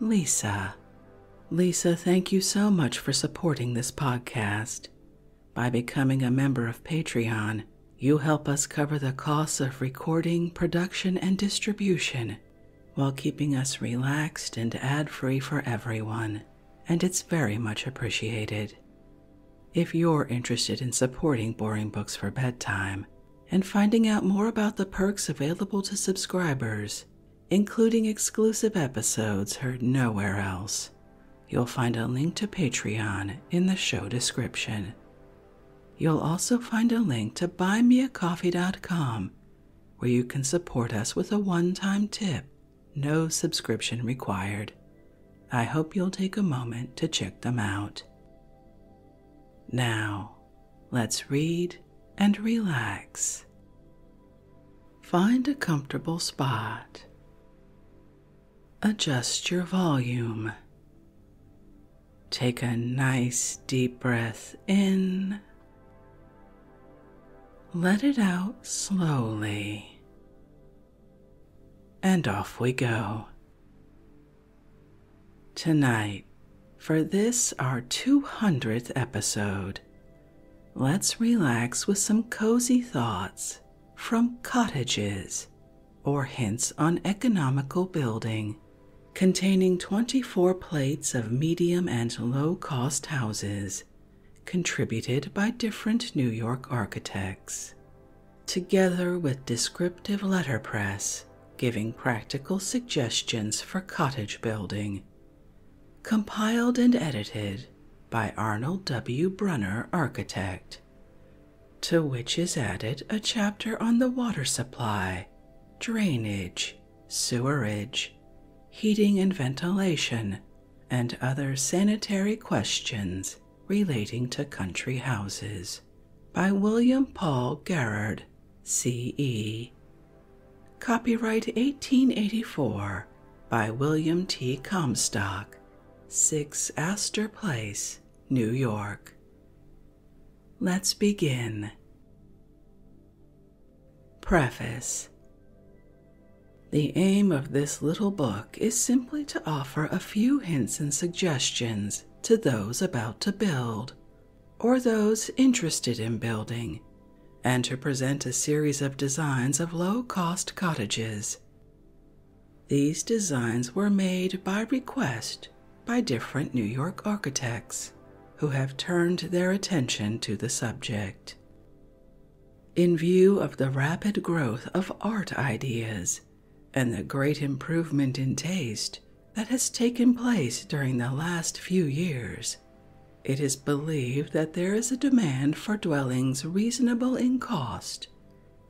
Lisa. Lisa, thank you so much for supporting this podcast. By becoming a member of Patreon, you help us cover the costs of recording, production, and distribution while keeping us relaxed and ad free for everyone, and it's very much appreciated. If you're interested in supporting Boring Books for Bedtime, and finding out more about the perks available to subscribers, including exclusive episodes heard nowhere else. You'll find a link to Patreon in the show description. You'll also find a link to buymeacoffee.com where you can support us with a one time tip, no subscription required. I hope you'll take a moment to check them out. Now, let's read and relax. Find a comfortable spot. Adjust your volume. Take a nice deep breath in. Let it out slowly. And off we go. Tonight, for this our 200th episode, let's relax with some cozy thoughts from cottages or hints on economical building containing 24 plates of medium and low cost houses contributed by different New York architects, together with descriptive letterpress giving practical suggestions for cottage building. Compiled and edited by Arnold W. Brunner, architect, to which is added a chapter on the water supply, drainage, sewerage, heating and ventilation, and other sanitary questions relating to country houses by William Paul Garrard CE. Copyright 1884 by William T. Comstock, 6 Astor Place, New York. Let's begin. Preface The aim of this little book is simply to offer a few hints and suggestions to those about to build or those interested in building, and to present a series of designs of low cost cottages. These designs were made by request by different New York architects who have turned their attention to the subject. In view of the rapid growth of art ideas and the great improvement in taste, that has taken place during the last few years. It is believed that there is a demand for dwellings reasonable in cost,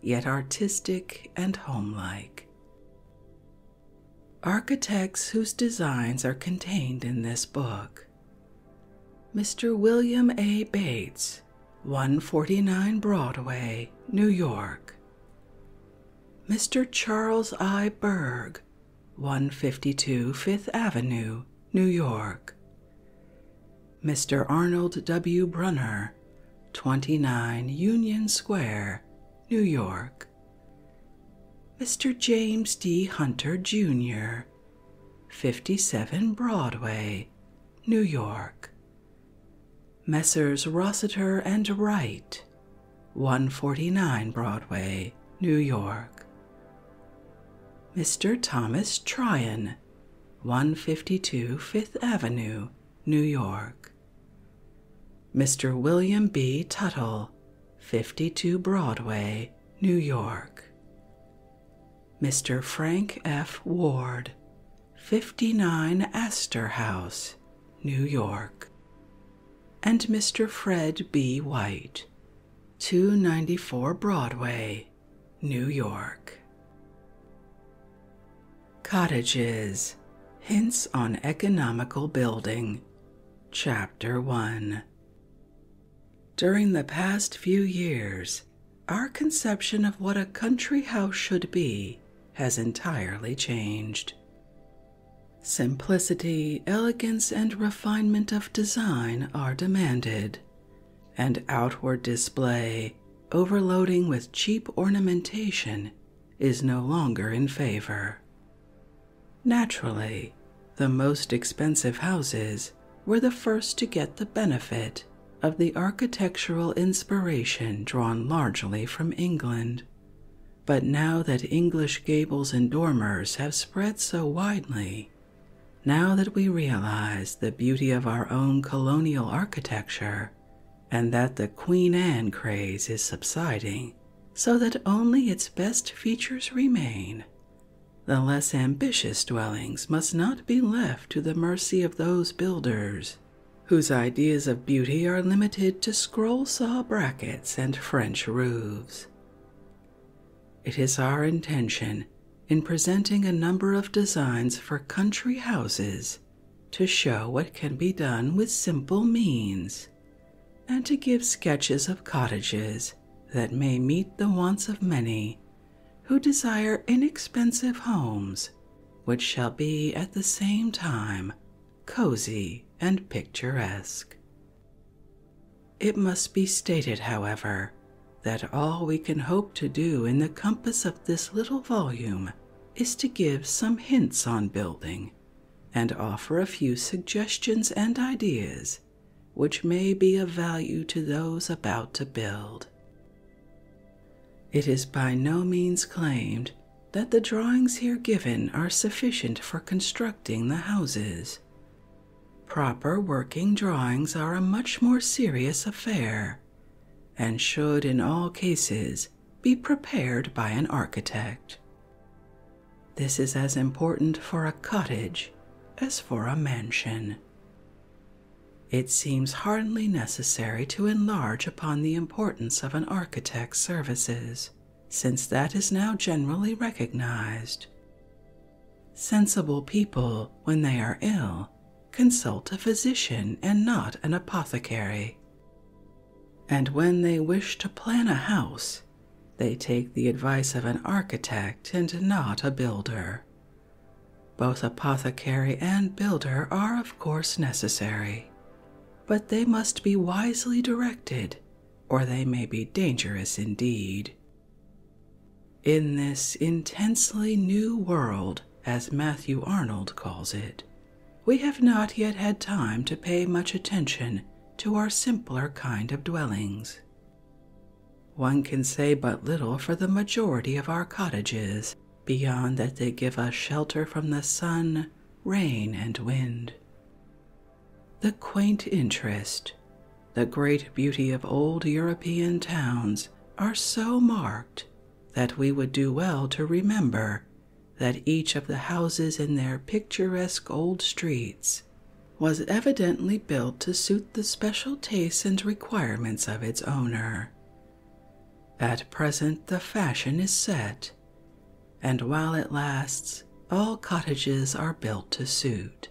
yet artistic and homelike. Architects whose designs are contained in this book Mr. William A. Bates, 149 Broadway, New York. Mr. Charles I. Berg, 152 Fifth Avenue, New York. Mr. Arnold W. Brunner, 29 Union Square, New York. Mr. James D. Hunter, Jr., 57 Broadway, New York. Messrs. Rossiter and Wright, 149 Broadway, New York. Mr. Thomas Tryon, 152 Fifth Avenue, New York. Mr. William B. Tuttle, 52 Broadway, New York. Mr. Frank F. Ward, 59 Astor House, New York and Mr. Fred B. White, 294 Broadway, New York. Cottages Hints on Economical Building, Chapter 1. During the past few years, our conception of what a country house should be has entirely changed. Simplicity, elegance, and refinement of design are demanded, and outward display, overloading with cheap ornamentation, is no longer in favor. Naturally, the most expensive houses were the first to get the benefit of the architectural inspiration drawn largely from England. But now that English gables and dormers have spread so widely, now that we realize the beauty of our own colonial architecture, and that the Queen Anne craze is subsiding so that only its best features remain, the less ambitious dwellings must not be left to the mercy of those builders whose ideas of beauty are limited to scroll saw brackets and French roofs. It is our intention in presenting a number of designs for country houses to show what can be done with simple means and to give sketches of cottages that may meet the wants of many who desire inexpensive homes which shall be at the same time cozy, and picturesque. It must be stated, however, that all we can hope to do in the compass of this little volume is to give some hints on building and offer a few suggestions and ideas which may be of value to those about to build. It is by no means claimed that the drawings here given are sufficient for constructing the houses. Proper working drawings are a much more serious affair and should in all cases be prepared by an architect. This is as important for a cottage as for a mansion. It seems hardly necessary to enlarge upon the importance of an architect's services since that is now generally recognized. Sensible people, when they are ill, consult a physician and not an apothecary. And when they wish to plan a house, they take the advice of an architect and not a builder. Both apothecary and builder are, of course, necessary, but they must be wisely directed, or they may be dangerous indeed. In this intensely new world, as Matthew Arnold calls it, we have not yet had time to pay much attention to our simpler kind of dwellings. One can say but little for the majority of our cottages, beyond that they give us shelter from the sun, rain, and wind, the quaint interest, the great beauty of old European towns are so marked that we would do well to remember that each of the houses in their picturesque old streets was evidently built to suit the special tastes and requirements of its owner. At present, the fashion is set and while it lasts, all cottages are built to suit.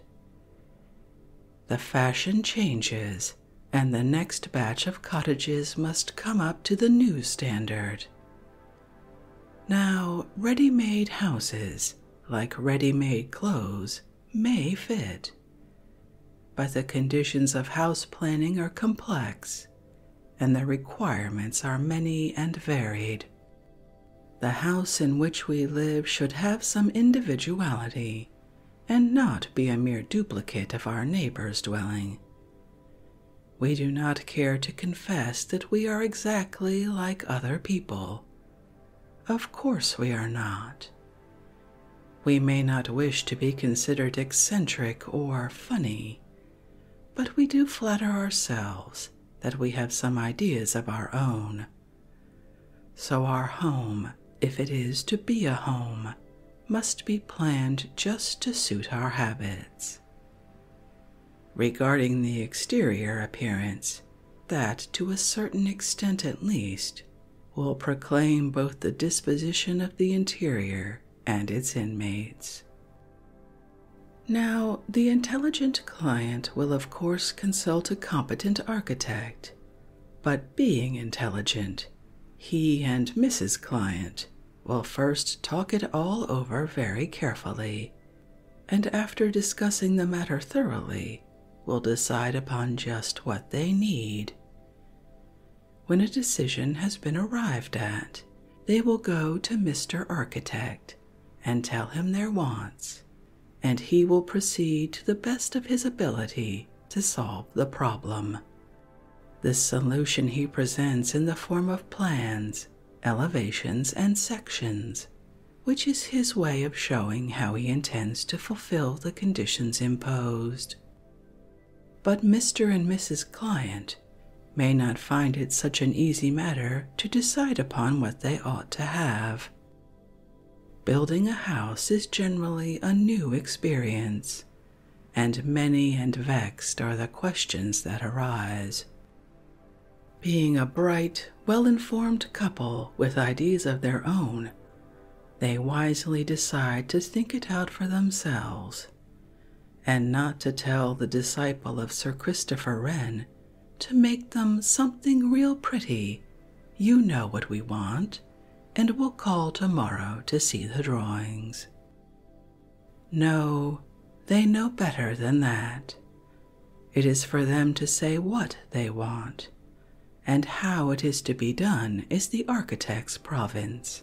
The fashion changes, and the next batch of cottages must come up to the new standard. Now, ready made houses, like ready made clothes, may fit. But the conditions of house planning are complex and their requirements are many and varied. The house in which we live should have some individuality and not be a mere duplicate of our neighbor's dwelling. We do not care to confess that we are exactly like other people. Of course, we are not. We may not wish to be considered eccentric or funny but we do flatter ourselves that we have some ideas of our own. So, our home, if it is to be a home, must be planned just to suit our habits. Regarding the exterior appearance, that to a certain extent at least will proclaim both the disposition of the interior and its inmates. Now, the intelligent client will, of course, consult a competent architect, but being intelligent, he and Mrs. Client will first talk it all over very carefully, and after discussing the matter thoroughly, will decide upon just what they need. When a decision has been arrived at, they will go to Mr. Architect and tell him their wants, and he will proceed to the best of his ability to solve the problem. This solution he presents in the form of plans, elevations, and sections, which is his way of showing how he intends to fulfill the conditions imposed. But Mr. and Mrs. Client may not find it such an easy matter to decide upon what they ought to have. Building a house is generally a new experience, and many and vexed are the questions that arise. Being a bright, well informed couple with ideas of their own, they wisely decide to think it out for themselves and not to tell the disciple of Sir Christopher Wren to make them something real pretty. You know what we want, and we'll call tomorrow to see the drawings. No, they know better than that. It is for them to say what they want, and how it is to be done is the architect's province.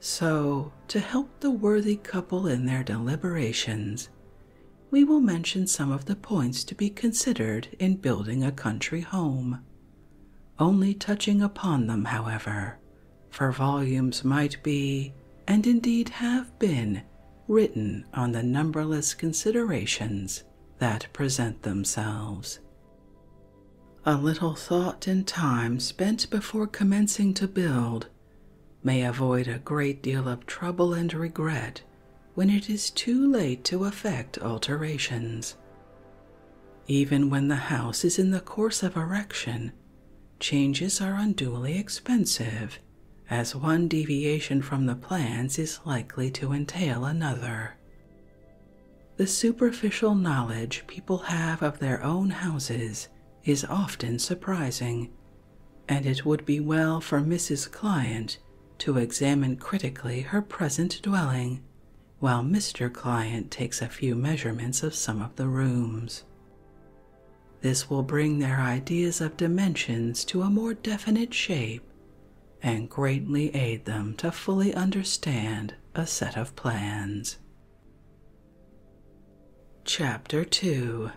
So, to help the worthy couple in their deliberations, we will mention some of the points to be considered in building a country home. Only touching upon them, however, for volumes might be, and indeed have been, written on the numberless considerations that present themselves. A little thought and time spent before commencing to build may avoid a great deal of trouble and regret when it is too late to effect alterations. Even when the house is in the course of erection, changes are unduly expensive, as one deviation from the plans is likely to entail another. The superficial knowledge people have of their own houses is often surprising, and it would be well for Mrs. Client to examine critically her present dwelling, while Mr. Client takes a few measurements of some of the rooms. This will bring their ideas of dimensions to a more definite shape and greatly aid them to fully understand a set of plans. Chapter 2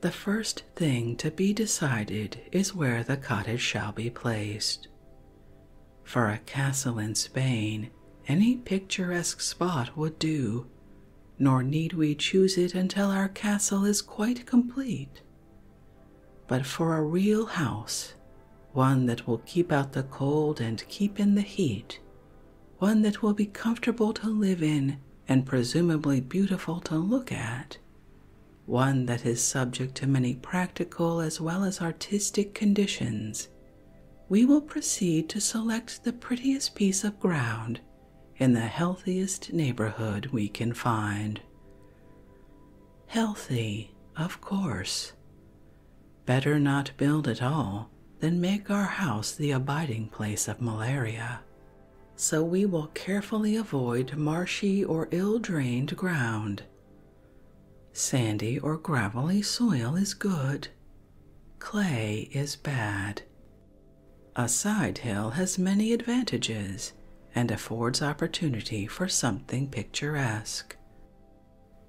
The first thing to be decided is where the cottage shall be placed. For a castle in Spain, any picturesque spot would do, nor need we choose it until our castle is quite complete. But for a real house, one that will keep out the cold and keep in the heat, one that will be comfortable to live in and presumably beautiful to look at, one that is subject to many practical as well as artistic conditions. We will proceed to select the prettiest piece of ground in the healthiest neighborhood we can find. Healthy, of course. Better not build at all than make our house the abiding place of malaria. So we will carefully avoid marshy or ill drained ground. Sandy or gravelly soil is good. Clay is bad. A side hill has many advantages and affords opportunity for something picturesque.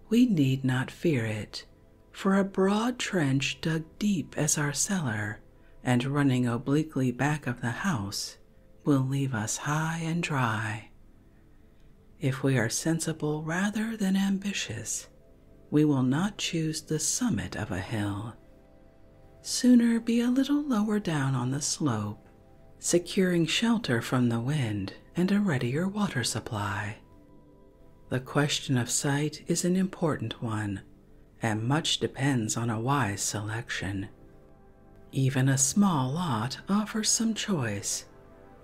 We need not fear it, for a broad trench dug deep as our cellar and running obliquely back of the house will leave us high and dry. If we are sensible rather than ambitious, we will not choose the summit of a hill. Sooner be a little lower down on the slope, securing shelter from the wind and a readier water supply. The question of site is an important one, and much depends on a wise selection. Even a small lot offers some choice,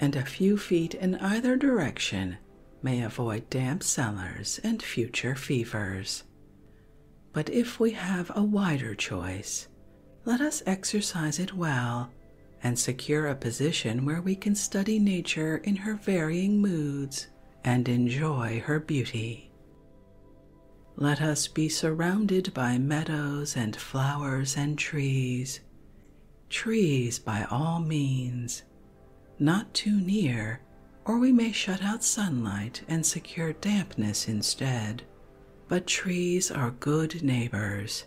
and a few feet in either direction may avoid damp cellars and future fevers. But if we have a wider choice, let us exercise it well and secure a position where we can study nature in her varying moods and enjoy her beauty. Let us be surrounded by meadows and flowers and trees, trees by all means, not too near, or we may shut out sunlight and secure dampness instead. But trees are good neighbors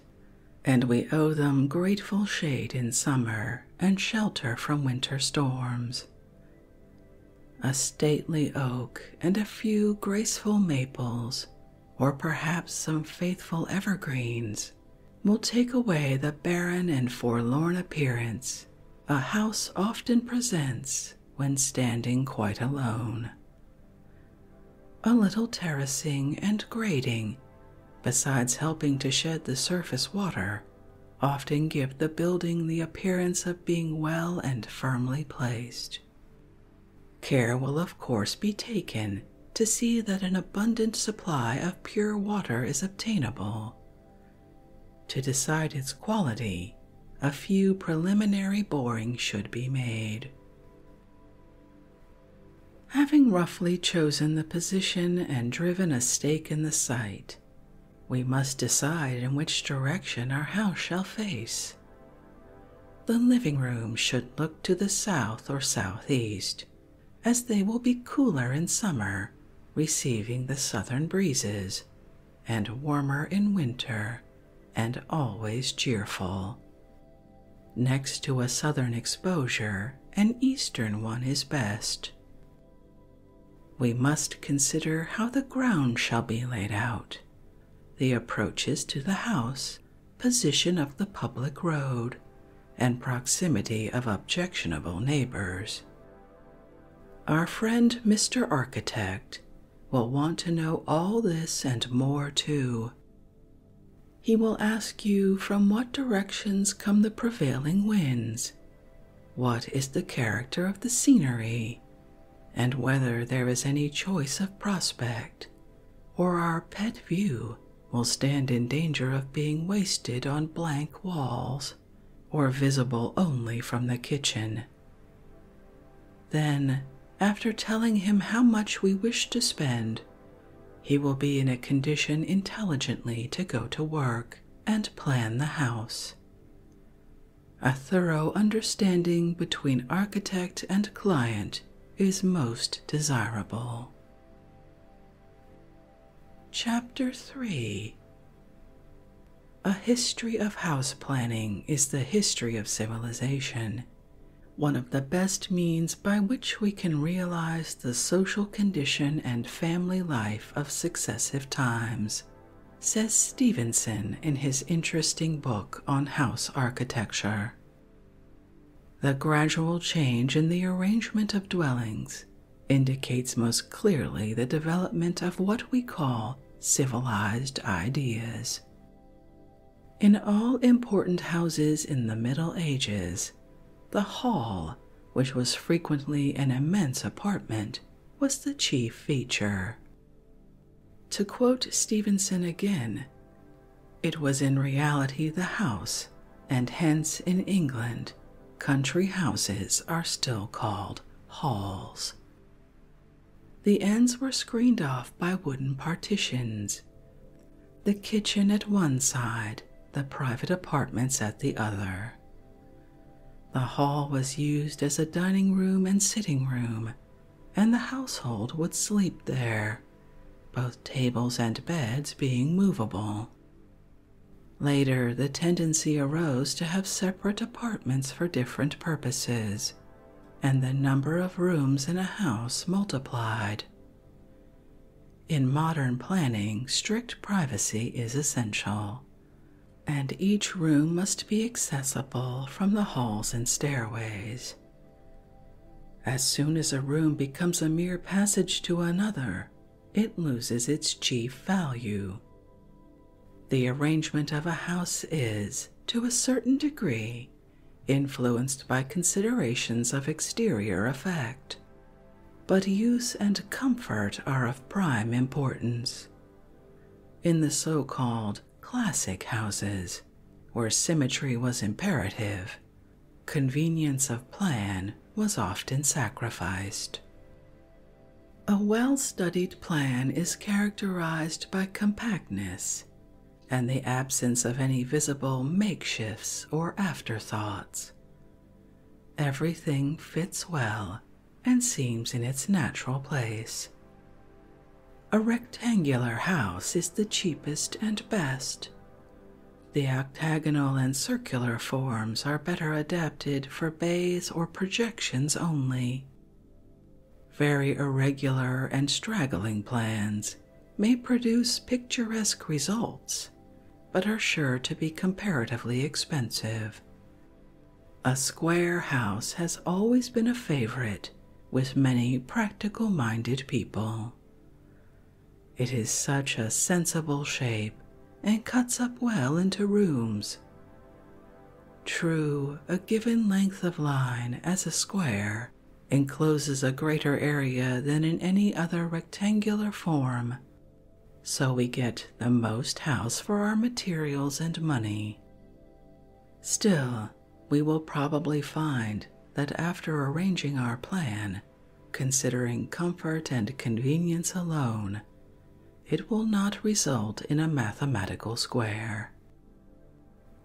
and we owe them grateful shade in summer and shelter from winter storms. A stately oak and a few graceful maples, or perhaps some faithful evergreens, will take away the barren and forlorn appearance a house often presents when standing quite alone. A little terracing and grading besides helping to shed the surface water, often give the building the appearance of being well and firmly placed. Care will, of course, be taken to see that an abundant supply of pure water is obtainable. To decide its quality, a few preliminary borings should be made. Having roughly chosen the position and driven a stake in the site, we must decide in which direction our house shall face. The living rooms should look to the south or southeast, as they will be cooler in summer, receiving the southern breezes, and warmer in winter, and always cheerful. Next to a southern exposure an eastern one is best. We must consider how the ground shall be laid out, the approaches to the house, position of the public road, and proximity of objectionable neighbors. Our friend Mr. Architect will want to know all this and more too, he will ask you from what directions come the prevailing winds, what is the character of the scenery, and whether there is any choice of prospect, or our pet view will stand in danger of being wasted on blank walls or visible only from the kitchen. Then, after telling him how much we wish to spend, he will be in a condition intelligently to go to work and plan the house. A thorough understanding between architect and client is most desirable. Chapter 3 A History of House Planning is the history of civilization, one of the best means by which we can realize the social condition and family life of successive times, says Stevenson in his interesting book on house architecture. The gradual change in the arrangement of dwellings indicates most clearly the development of what we call civilized ideas. In all important houses in the Middle Ages, the hall, which was frequently an immense apartment, was the chief feature. To quote Stevenson again, it was in reality the house, and hence in England, country houses are still called halls. The ends were screened off by wooden partitions the kitchen at one side, the private apartments at the other. The hall was used as a dining room and sitting room, and the household would sleep there, both tables and beds being movable. Later, the tendency arose to have separate apartments for different purposes, and the number of rooms in a house multiplied. In modern planning, strict privacy is essential, and each room must be accessible from the halls and stairways. As soon as a room becomes a mere passage to another, it loses its chief value. The arrangement of a house is, to a certain degree, influenced by considerations of exterior effect but use and comfort are of prime importance. In the so called classic houses, where symmetry was imperative, convenience of plan was often sacrificed. A well studied plan is characterized by compactness and the absence of any visible makeshifts or afterthoughts, Everything fits well and seems in its natural place. A rectangular house is the cheapest and best. The octagonal and circular forms are better adapted for bays or projections only. Very irregular and straggling plans may produce picturesque results, but are sure to be comparatively expensive. A square house has always been a favorite with many practical minded people. It is such a sensible shape and cuts up well into rooms. True, a given length of line as a square encloses a greater area than in any other rectangular form so we get the most house for our materials and money. Still, we will probably find that after arranging our plan, considering comfort and convenience alone, it will not result in a mathematical square.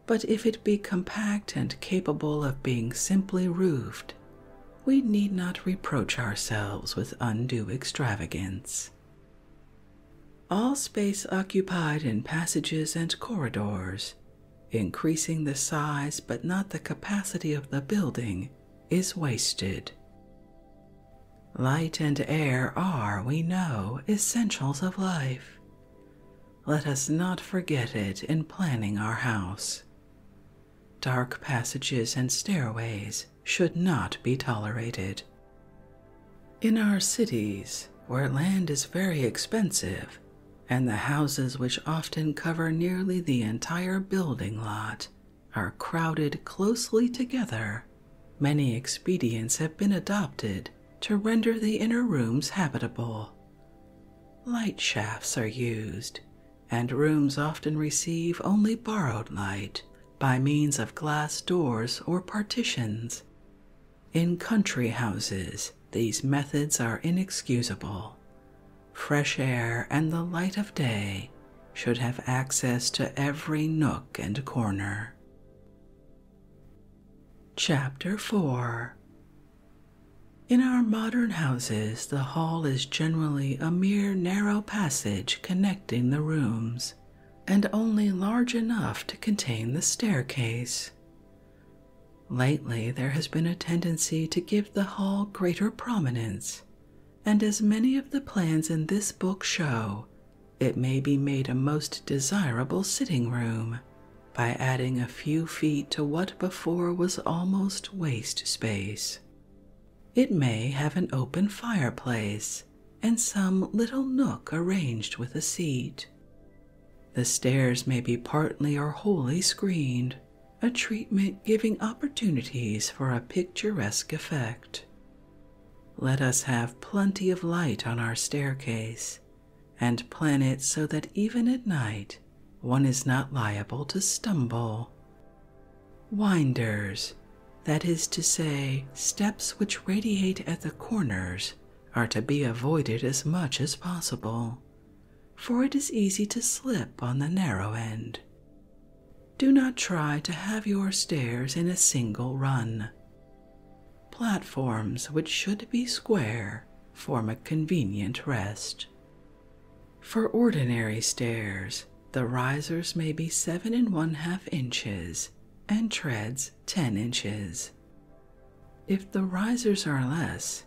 But if it be compact and capable of being simply roofed, we need not reproach ourselves with undue extravagance. All space occupied in passages and corridors, increasing the size but not the capacity of the building, is wasted. Light and air are, we know, essentials of life. Let us not forget it in planning our house. Dark passages and stairways should not be tolerated. In our cities, where land is very expensive, and the houses which often cover nearly the entire building lot are crowded closely together, many expedients have been adopted to render the inner rooms habitable. Light shafts are used and rooms often receive only borrowed light by means of glass doors or partitions. In country houses, these methods are inexcusable. Fresh air and the light of day should have access to every nook and corner. Chapter 4 in our modern houses, the hall is generally a mere narrow passage connecting the rooms and only large enough to contain the staircase. Lately, there has been a tendency to give the hall greater prominence, and as many of the plans in this book show, it may be made a most desirable sitting room by adding a few feet to what before was almost waste space. It may have an open fireplace and some little nook arranged with a seat. The stairs may be partly or wholly screened, a treatment giving opportunities for a picturesque effect. Let us have plenty of light on our staircase and plan it so that even at night one is not liable to stumble. Winders, that is to say, steps which radiate at the corners, are to be avoided as much as possible, for it is easy to slip on the narrow end. Do not try to have your stairs in a single run. Platforms, which should be square, form a convenient rest. For ordinary stairs, the risers may be seven and one half inches and treads ten inches. If the risers are less,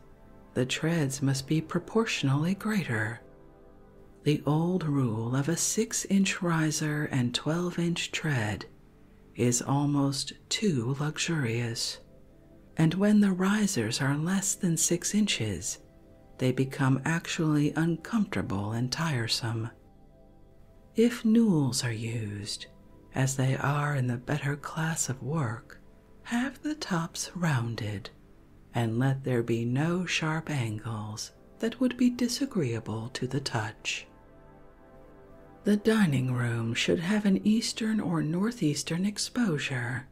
the treads must be proportionally greater. The old rule of a six inch riser and twelve inch tread is almost too luxurious, and when the risers are less than six inches, they become actually uncomfortable and tiresome. If newels are used, as they are in the better class of work, have the tops rounded, and let there be no sharp angles that would be disagreeable to the touch. The dining room should have an eastern or northeastern exposure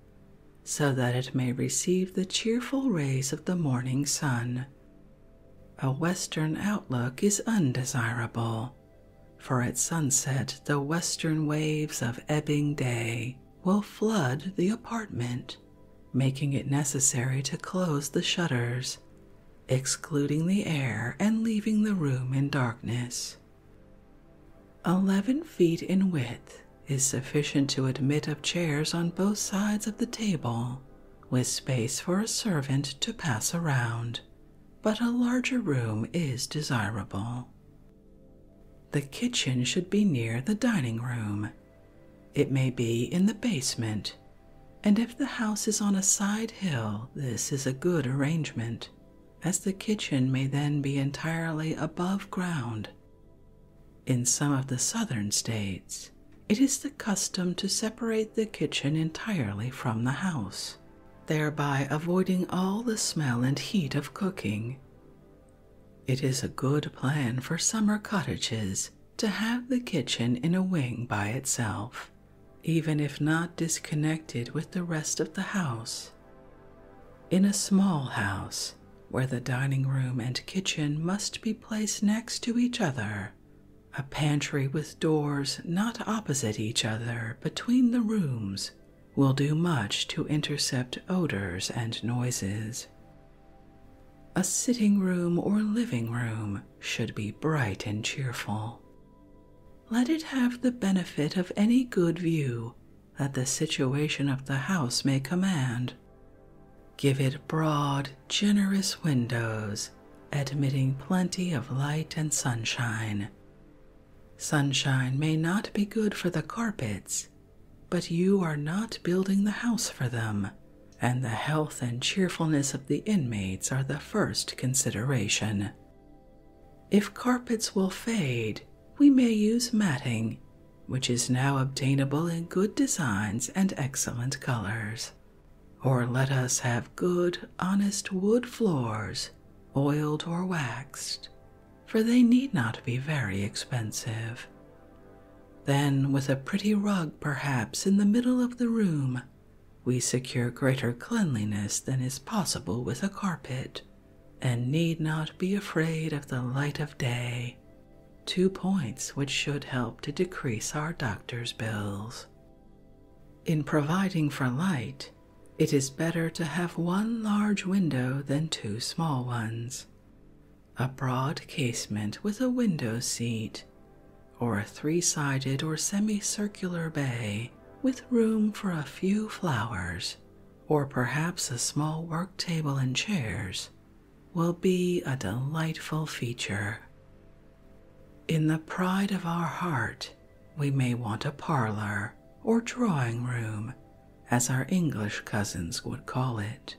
so that it may receive the cheerful rays of the morning sun. A western outlook is undesirable, for at sunset the western waves of ebbing day will flood the apartment, making it necessary to close the shutters, excluding the air and leaving the room in darkness. Eleven feet in width is sufficient to admit of chairs on both sides of the table, with space for a servant to pass around, but a larger room is desirable. The kitchen should be near the dining room. It may be in the basement, and if the house is on a side hill, this is a good arrangement, as the kitchen may then be entirely above ground in some of the southern states, it is the custom to separate the kitchen entirely from the house, thereby avoiding all the smell and heat of cooking. It is a good plan for summer cottages to have the kitchen in a wing by itself, even if not disconnected with the rest of the house, in a small house, where the dining room and kitchen must be placed next to each other, a pantry with doors not opposite each other between the rooms will do much to intercept odors and noises. A sitting room or living room should be bright and cheerful. Let it have the benefit of any good view that the situation of the house may command. Give it broad, generous windows, admitting plenty of light and sunshine. Sunshine may not be good for the carpets, but you are not building the house for them, and the health and cheerfulness of the inmates are the first consideration. If carpets will fade, we may use matting, which is now obtainable in good designs and excellent colors. Or let us have good, honest wood floors, oiled or waxed, for they need not be very expensive. Then, with a pretty rug perhaps in the middle of the room, we secure greater cleanliness than is possible with a carpet and need not be afraid of the light of day. Two points which should help to decrease our doctor's bills. In providing for light, it is better to have one large window than two small ones. A broad casement with a window seat, or a three sided or semicircular bay with room for a few flowers or perhaps a small work table and chairs, will be a delightful feature. In the pride of our heart, we may want a parlor or drawing room, as our English cousins would call it.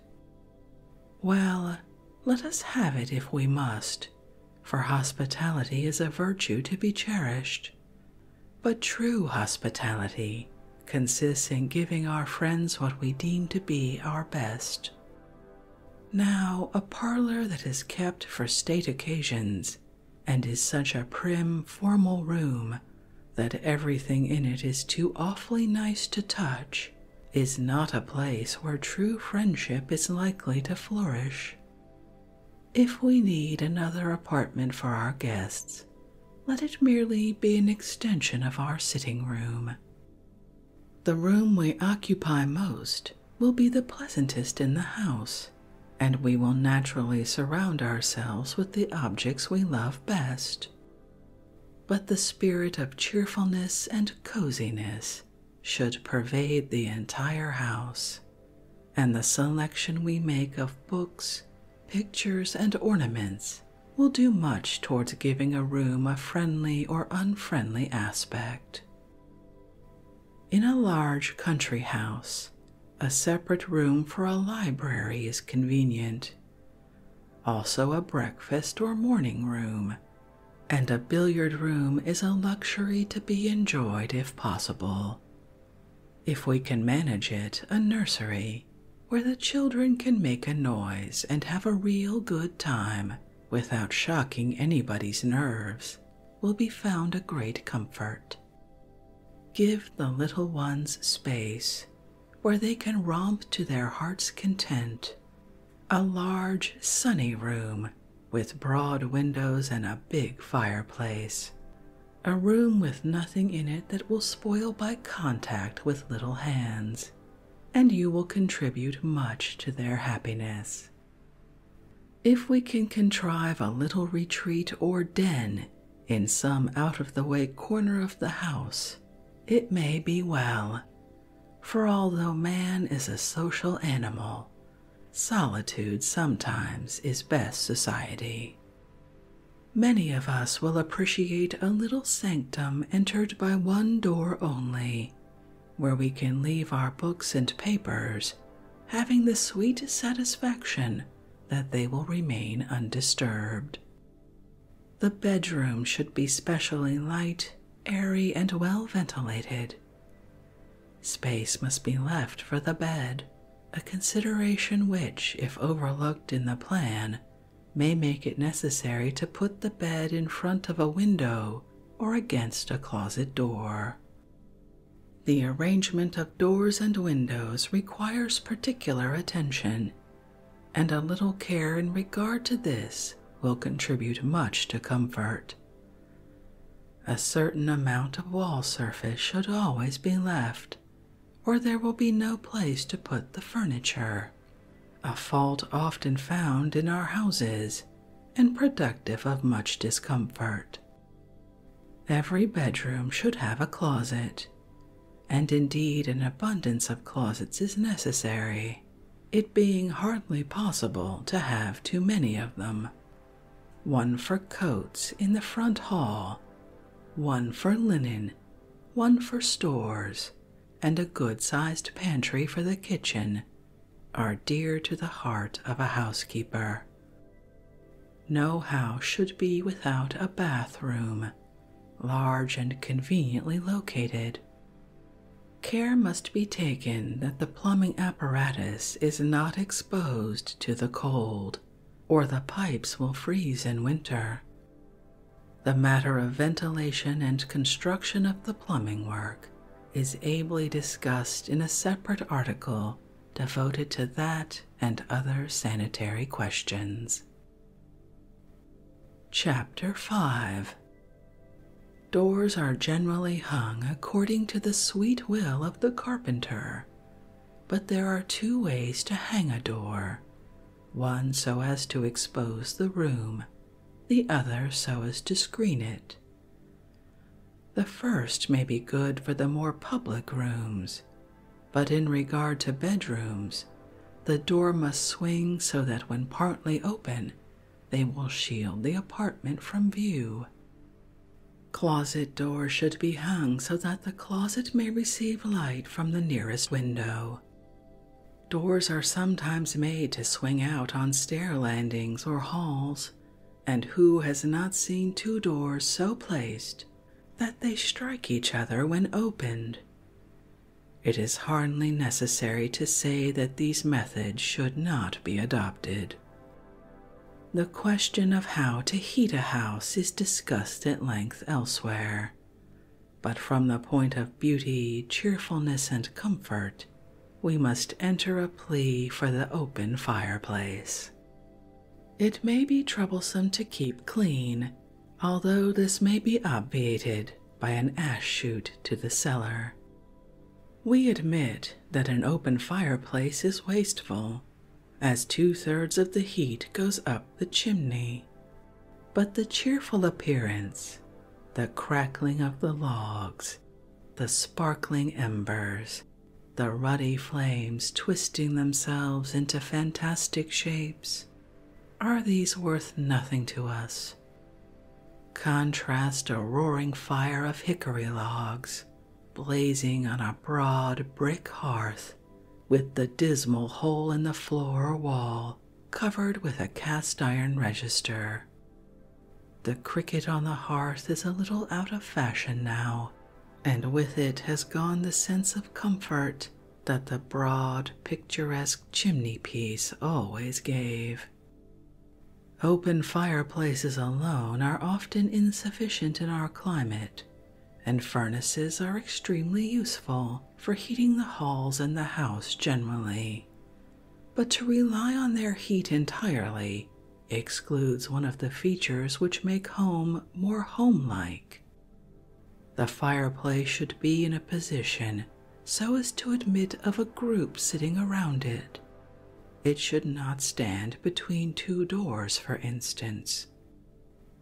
Well, let us have it if we must, for hospitality is a virtue to be cherished, but true hospitality consists in giving our friends what we deem to be our best. Now, a parlor that is kept for state occasions and is such a prim, formal room that everything in it is too awfully nice to touch is not a place where true friendship is likely to flourish. If we need another apartment for our guests, let it merely be an extension of our sitting room. The room we occupy most will be the pleasantest in the house, and we will naturally surround ourselves with the objects we love best. But the spirit of cheerfulness and coziness should pervade the entire house, and the selection we make of books, Pictures and ornaments will do much towards giving a room a friendly or unfriendly aspect. In a large country house, a separate room for a library is convenient, also, a breakfast or morning room, and a billiard room is a luxury to be enjoyed if possible if we can manage it, a nursery where the children can make a noise and have a real good time without shocking anybody's nerves will be found a great comfort. Give the little ones space where they can romp to their heart's content. A large, sunny room with broad windows and a big fireplace a room with nothing in it that will spoil by contact with little hands, and you will contribute much to their happiness. If we can contrive a little retreat or den in some out of the way corner of the house, it may be well, for although man is a social animal, solitude sometimes is best society. Many of us will appreciate a little sanctum entered by one door only, where we can leave our books and papers, having the sweet satisfaction that they will remain undisturbed. The bedroom should be specially light, airy, and well ventilated. Space must be left for the bed a consideration which, if overlooked in the plan, may make it necessary to put the bed in front of a window or against a closet door. The arrangement of doors and windows requires particular attention, and a little care in regard to this will contribute much to comfort. A certain amount of wall surface should always be left or there will be no place to put the furniture, a fault often found in our houses and productive of much discomfort. Every bedroom should have a closet, and indeed an abundance of closets is necessary, it being hardly possible to have too many of them. One for coats in the front hall one for linen, one for stores, and a good sized pantry for the kitchen are dear to the heart of a housekeeper. No house should be without a bathroom, large and conveniently located. Care must be taken that the plumbing apparatus is not exposed to the cold or the pipes will freeze in winter. The matter of ventilation and construction of the plumbing work is ably discussed in a separate article devoted to that and other sanitary questions. Chapter 5 Doors are generally hung according to the sweet will of the carpenter, but there are two ways to hang a door one so as to expose the room, the other so as to screen it. The first may be good for the more public rooms, but in regard to bedrooms, the door must swing so that when partly open, they will shield the apartment from view. Closet doors should be hung so that the closet may receive light from the nearest window. Doors are sometimes made to swing out on stair landings or halls, and who has not seen two doors so placed that they strike each other when opened? It is hardly necessary to say that these methods should not be adopted. The question of how to heat a house is discussed at length elsewhere, but from the point of beauty, cheerfulness, and comfort, we must enter a plea for the open fireplace. It may be troublesome to keep clean, although this may be obviated by an ash chute to the cellar. We admit that an open fireplace is wasteful as two thirds of the heat goes up the chimney. But the cheerful appearance, the crackling of the logs, the sparkling embers, the ruddy flames twisting themselves into fantastic shapes, are these worth nothing to us? Contrast a roaring fire of hickory logs blazing on a broad brick hearth with the dismal hole in the floor or wall covered with a cast iron register. The cricket on the hearth is a little out of fashion now, and with it has gone the sense of comfort that the broad, picturesque chimney piece always gave. Open fireplaces alone are often insufficient in our climate and furnaces are extremely useful for heating the halls and the house generally. But to rely on their heat entirely excludes one of the features which make home more homelike. The fireplace should be in a position so as to admit of a group sitting around it. It should not stand between two doors, for instance,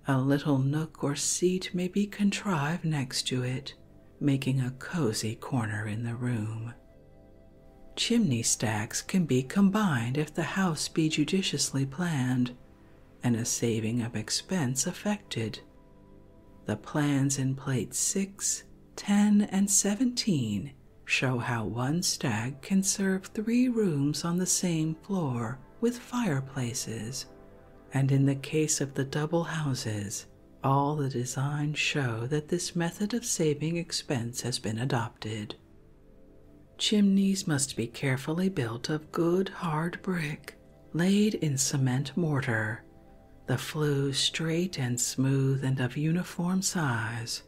a little nook or seat may be contrived next to it, making a cozy corner in the room. Chimney stacks can be combined if the house be judiciously planned and a saving of expense effected. The plans in plates 6, 10, and 17 show how one stack can serve three rooms on the same floor with fireplaces, and in the case of the double houses, all the designs show that this method of saving expense has been adopted. Chimneys must be carefully built of good hard brick, laid in cement mortar, the flues straight and smooth and of uniform size,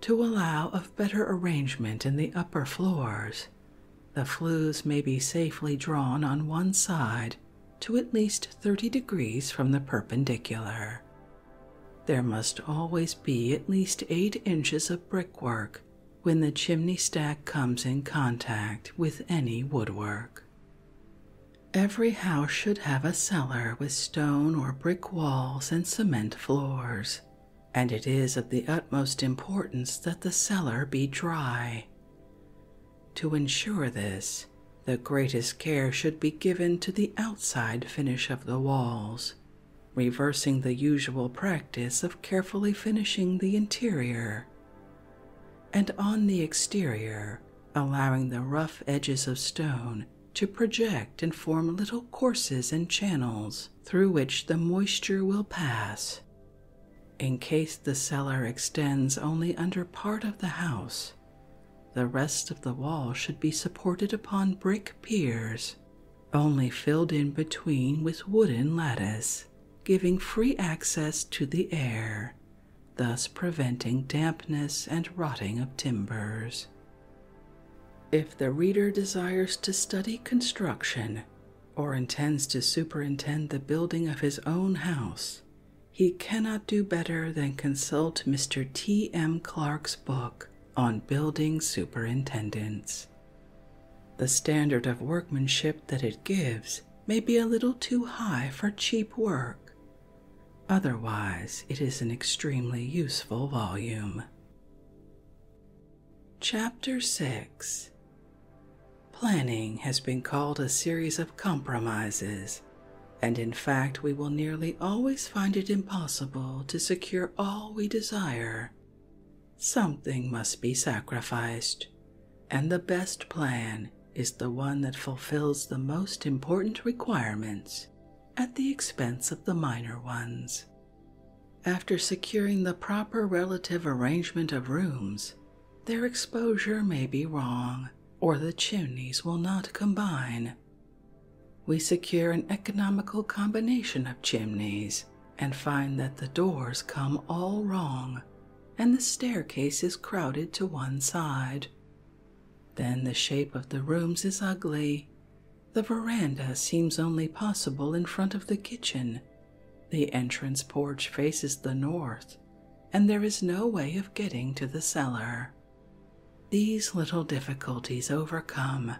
to allow of better arrangement in the upper floors the flues may be safely drawn on one side to at least 30 degrees from the perpendicular. There must always be at least 8 inches of brickwork when the chimney stack comes in contact with any woodwork. Every house should have a cellar with stone or brick walls and cement floors, and it is of the utmost importance that the cellar be dry. To ensure this, the greatest care should be given to the outside finish of the walls, reversing the usual practice of carefully finishing the interior, and on the exterior, allowing the rough edges of stone to project and form little courses and channels through which the moisture will pass. In case the cellar extends only under part of the house, the rest of the wall should be supported upon brick piers, only filled in between with wooden lattice, giving free access to the air, thus preventing dampness and rotting of timbers. If the reader desires to study construction, or intends to superintend the building of his own house, he cannot do better than consult Mr. T. M. Clark's book on building superintendence. The standard of workmanship that it gives may be a little too high for cheap work. Otherwise, it is an extremely useful volume. Chapter 6 Planning has been called a series of compromises, and in fact, we will nearly always find it impossible to secure all we desire. Something must be sacrificed, and the best plan is the one that fulfills the most important requirements at the expense of the minor ones. After securing the proper relative arrangement of rooms, their exposure may be wrong or the chimneys will not combine. We secure an economical combination of chimneys and find that the doors come all wrong and the staircase is crowded to one side. Then the shape of the rooms is ugly the veranda seems only possible in front of the kitchen. The entrance porch faces the north, and there is no way of getting to the cellar. These little difficulties overcome,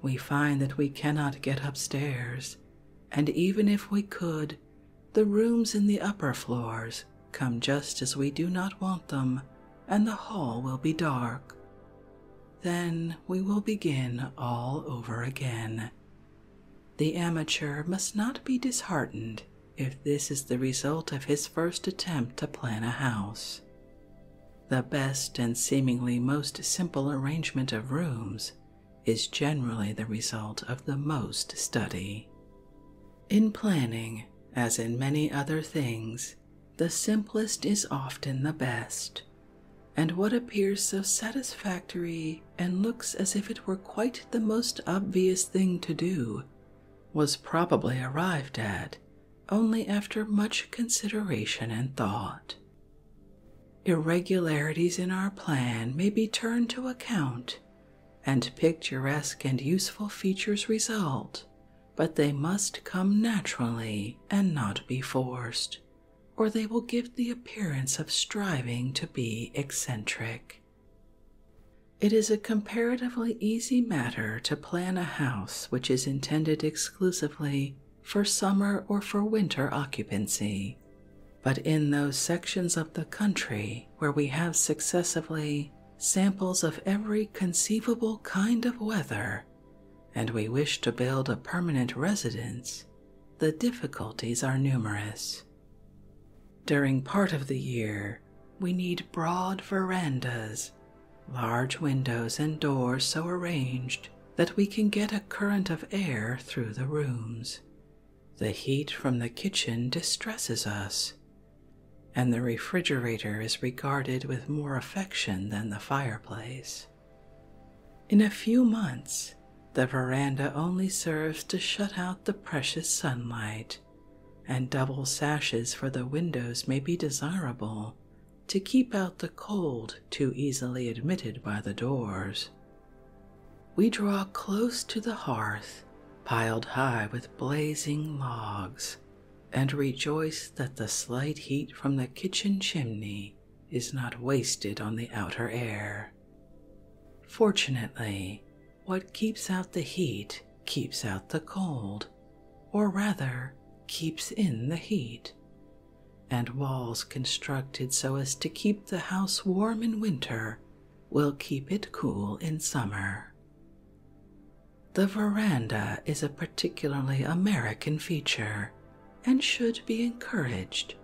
we find that we cannot get upstairs, and even if we could, the rooms in the upper floors come just as we do not want them, and the hall will be dark. Then we will begin all over again. The amateur must not be disheartened if this is the result of his first attempt to plan a house. The best and seemingly most simple arrangement of rooms is generally the result of the most study. In planning, as in many other things, the simplest is often the best and what appears so satisfactory and looks as if it were quite the most obvious thing to do was probably arrived at only after much consideration and thought. Irregularities in our plan may be turned to account, and picturesque and useful features result, but they must come naturally and not be forced or they will give the appearance of striving to be eccentric. It is a comparatively easy matter to plan a house which is intended exclusively for summer or for winter occupancy. But in those sections of the country where we have successively samples of every conceivable kind of weather and we wish to build a permanent residence, the difficulties are numerous. During part of the year, we need broad verandas, large windows and doors so arranged that we can get a current of air through the rooms. The heat from the kitchen distresses us, and the refrigerator is regarded with more affection than the fireplace. In a few months, the veranda only serves to shut out the precious sunlight, and double sashes for the windows may be desirable to keep out the cold too easily admitted by the doors. We draw close to the hearth, piled high with blazing logs, and rejoice that the slight heat from the kitchen chimney is not wasted on the outer air. Fortunately, what keeps out the heat keeps out the cold, or rather, keeps in the heat. And walls constructed so as to keep the house warm in winter will keep it cool in summer. The veranda is a particularly American feature and should be encouraged,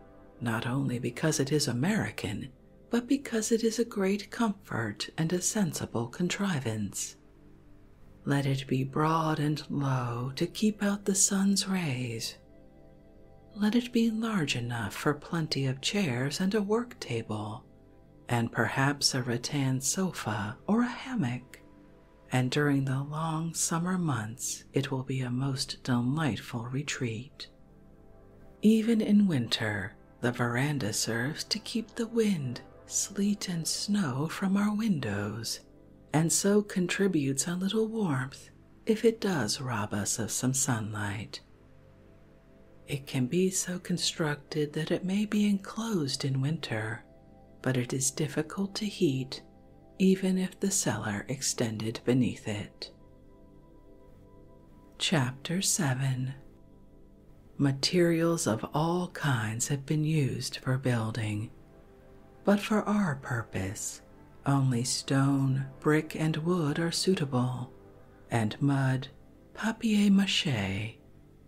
not only because it is American, but because it is a great comfort and a sensible contrivance. Let it be broad and low to keep out the sun's rays. Let it be large enough for plenty of chairs and a work table, and perhaps a rattan sofa or a hammock, and during the long summer months it will be a most delightful retreat. Even in winter, the veranda serves to keep the wind, sleet, and snow from our windows, and so contributes a little warmth if it does rob us of some sunlight. It can be so constructed that it may be enclosed in winter, but it is difficult to heat even if the cellar extended beneath it. Chapter 7 Materials of all kinds have been used for building, but for our purpose, only stone, brick, and wood are suitable, and mud, papier mache,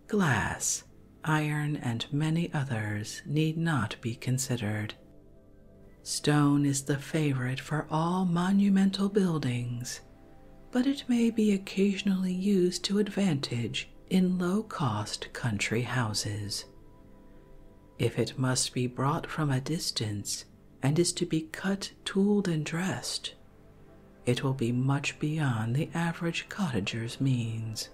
glass, iron, and many others need not be considered. Stone is the favorite for all monumental buildings, but it may be occasionally used to advantage in low cost country houses. If it must be brought from a distance and is to be cut, tooled, and dressed, it will be much beyond the average cottager's means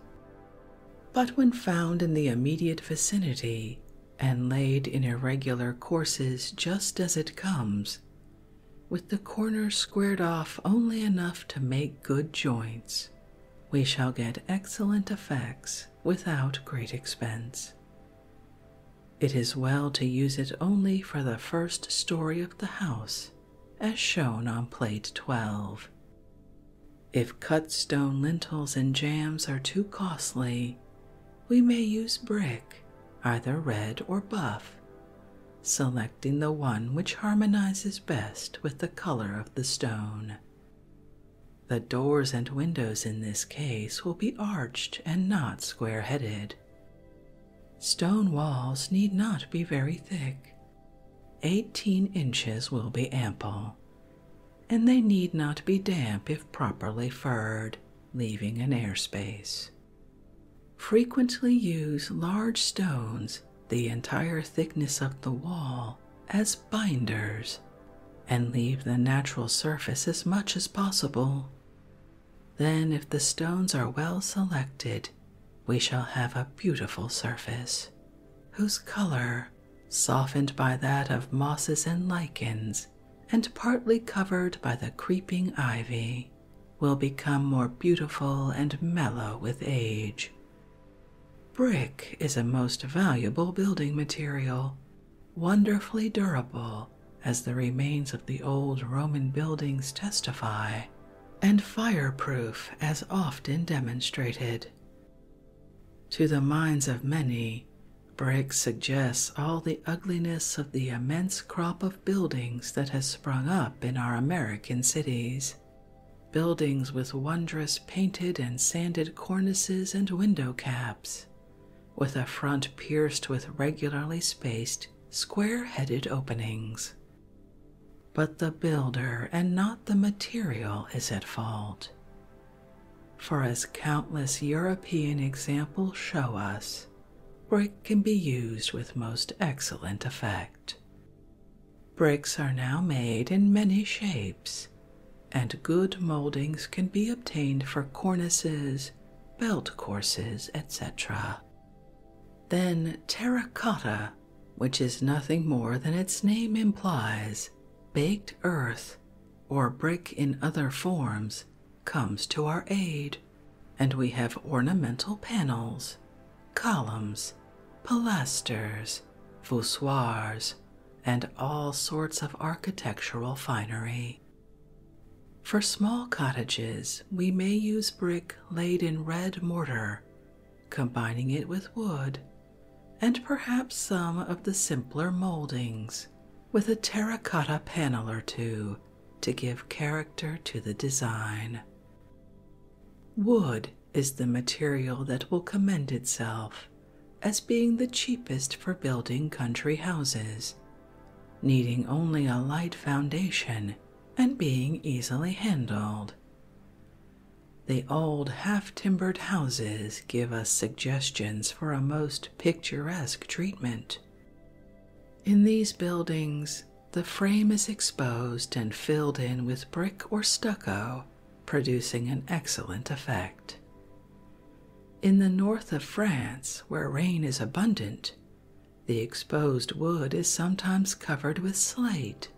but when found in the immediate vicinity and laid in irregular courses just as it comes, with the corners squared off only enough to make good joints, we shall get excellent effects without great expense. It is well to use it only for the first story of the house, as shown on plate 12. If cut stone lintels and jams are too costly, we may use brick, either red or buff, selecting the one which harmonizes best with the color of the stone. The doors and windows in this case will be arched and not square headed. Stone walls need not be very thick. 18 inches will be ample, and they need not be damp if properly furred, leaving an air space. Frequently use large stones, the entire thickness of the wall, as binders, and leave the natural surface as much as possible. Then, if the stones are well selected, we shall have a beautiful surface, whose color softened by that of mosses and lichens, and partly covered by the creeping ivy, will become more beautiful and mellow with age. Brick is a most valuable building material, wonderfully durable, as the remains of the old Roman buildings testify, and fireproof as often demonstrated. To the minds of many, brick suggests all the ugliness of the immense crop of buildings that has sprung up in our American cities. Buildings with wondrous painted and sanded cornices and window caps, with a front pierced with regularly spaced, square headed openings. But the builder and not the material is at fault. For as countless European examples show us, brick can be used with most excellent effect. Bricks are now made in many shapes, and good moldings can be obtained for cornices, belt courses, etc. Then terracotta, which is nothing more than its name implies, baked earth, or brick in other forms comes to our aid, and we have ornamental panels, columns, pilasters, voussoirs, and all sorts of architectural finery. For small cottages, we may use brick laid in red mortar combining it with wood and perhaps some of the simpler moldings with a terracotta panel or two to give character to the design. Wood is the material that will commend itself as being the cheapest for building country houses, needing only a light foundation and being easily handled. The old half timbered houses give us suggestions for a most picturesque treatment. In these buildings, the frame is exposed and filled in with brick or stucco, producing an excellent effect. In the north of France, where rain is abundant, the exposed wood is sometimes covered with slate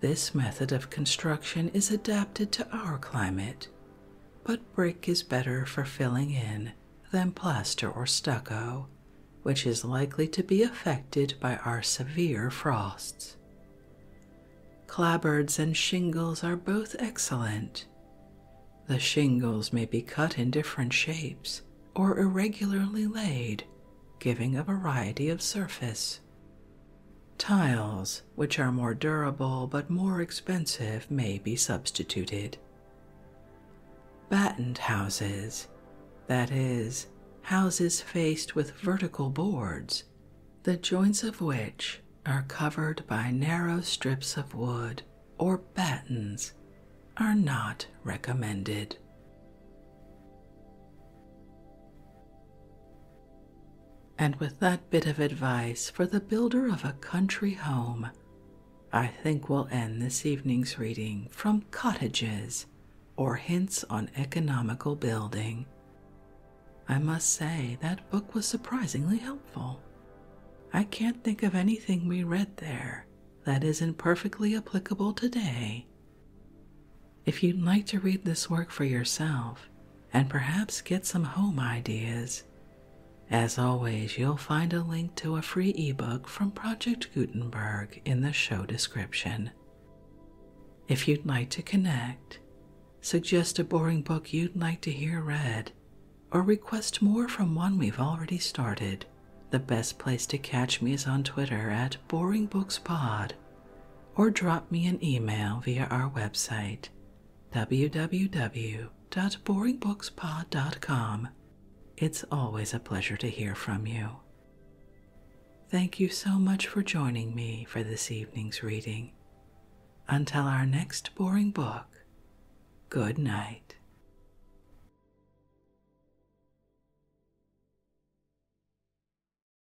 this method of construction is adapted to our climate, but brick is better for filling in than plaster or stucco, which is likely to be affected by our severe frosts. Clabbards and shingles are both excellent. The shingles may be cut in different shapes or irregularly laid, giving a variety of surface. Tiles, which are more durable but more expensive, may be substituted. Battened houses, that is, houses faced with vertical boards, the joints of which are covered by narrow strips of wood or battens, are not recommended. And with that bit of advice for the builder of a country home, I think we'll end this evening's reading from Cottages or Hints on Economical Building. I must say, that book was surprisingly helpful. I can't think of anything we read there that isn't perfectly applicable today if you'd like to read this work for yourself and perhaps get some home ideas, as always, you'll find a link to a free ebook from Project Gutenberg in the show description. If you'd like to connect, suggest a boring book you'd like to hear read, or request more from one we've already started, the best place to catch me is on Twitter at BoringBooksPod or drop me an email via our website www.boringbookspod.com. It's always a pleasure to hear from you. Thank you so much for joining me for this evening's reading. Until our next boring book, good night.